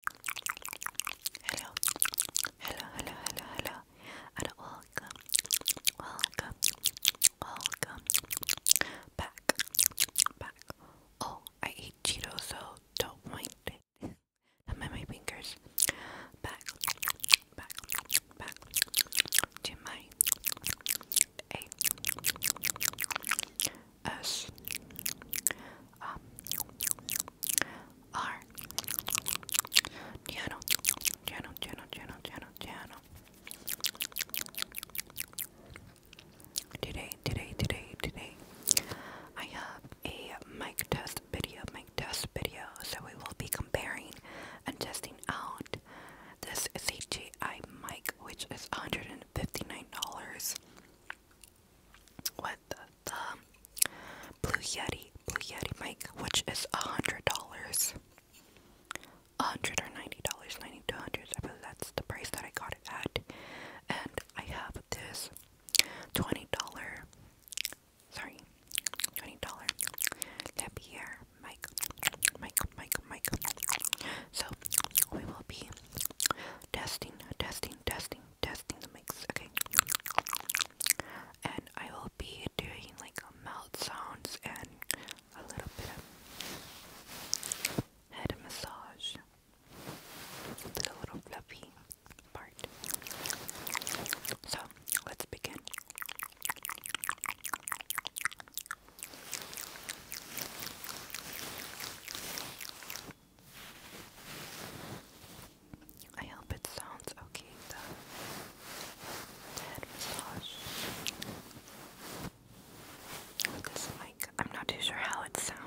Hello, hello, hello, hello, hello, welcome, welcome, welcome back, back. Oh, I eat Cheetos, so don't mind it. I'm at my fingers. Back, back, back to my a S um, R Channel Channel Channel Channel Channel Channel Today today today today I have a mic test video mic test video so we will be comparing and testing out this CGI mic which is $159 with the um, Blue Yeti, Blue Yeti mic, which is a hundred dollars. A hundred or dollars, ninety two hundred. I believe that's the price that I got it at. And I have this twenty dollar, sorry, twenty dollar Lapierre mic, mic, mic, mic. So we will be testing, testing, testing, testing the mix, okay? And I will be doing like mouth sounds and a little bit head massage. little fluffy part. So let's begin. I hope it sounds okay, the head massage. With this I'm not too sure how it sounds.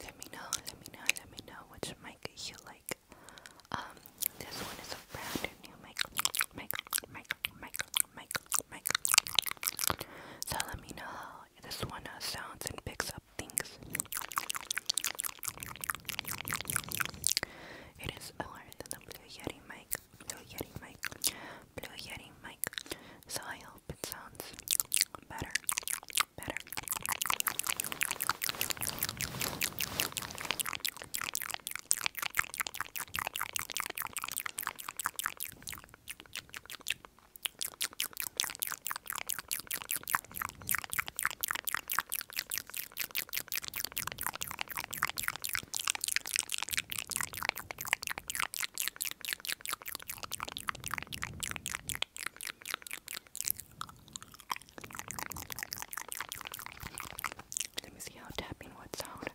Let me know, let me know, let me know which mic you like. Um, this one is a brand new mic, mic, mic, mic, mic, mic. So let me know how this one uh, sounds and picks up things. It is lower than Blue Yeti mic, Blue Yeti mic, Blue Yeti mic. So I hope it sounds better, better. Let me see how tapping would sound.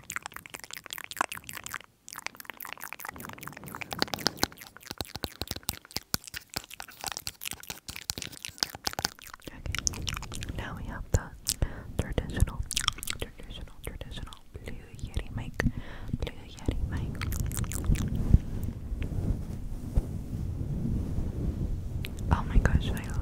Okay. Now we have the traditional, traditional, traditional blue yeti mic, blue yeti mic. Oh my gosh, I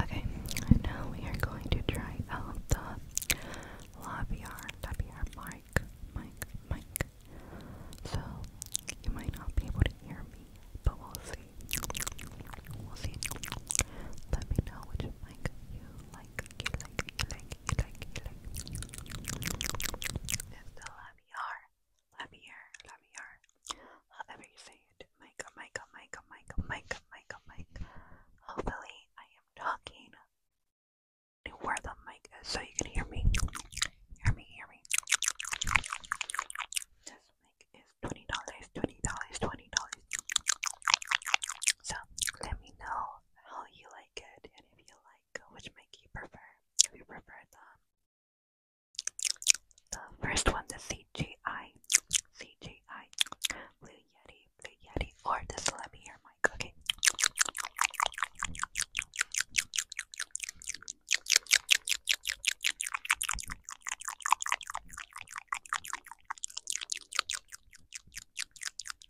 Okay, now we are going to try out the LaVR, WR mic, mic, mic. So, you might not be able to hear me, but we'll see. We'll see. Let me know which mic you like, you like, you like, you like, you like. It's the Labiar, Labiar, Labiar, however you say it. Micah, Micah, Micah, Micah, Micah, Micah, Micah. Hopefully, I am talking to where the mic is so you can hear me. Hear me, hear me. This mic is $20, $20, $20. So, let me know how you like it and if you like which mic you prefer? If you prefer the the first one, the CGI, CGI, Blue Yeti, Blue Yeti, or the Celebi Ear mic? Okay.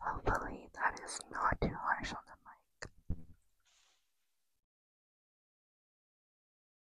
Hopefully that is not too harsh on the mic.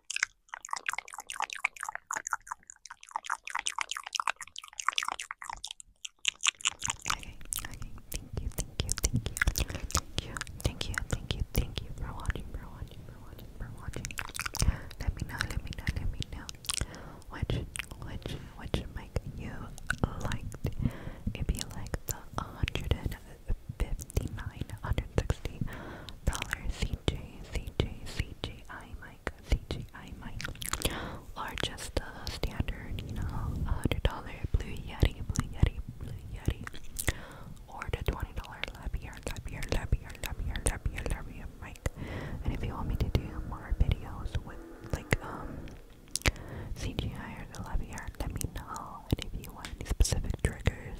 Okay, okay, thank you, thank you, thank you, thank you, thank you, thank you, thank you for watching, for watching, for watching, for watching. Let me know, let me know, let me know which, which, which mic you liked. If you liked the 159 $160. CJ, CJ, CJI mic, CJI mic. Or just the uh, standard, you know, $100 Blue Yeti, Blue Yeti, Blue Yeti. Or the $20 Lapier, Lapier, Lapier, Lapier, Lapier, Lapier mic. And if you want me to do more videos with, like, um, CGI or the Lapier, let me know. And if you want any specific triggers,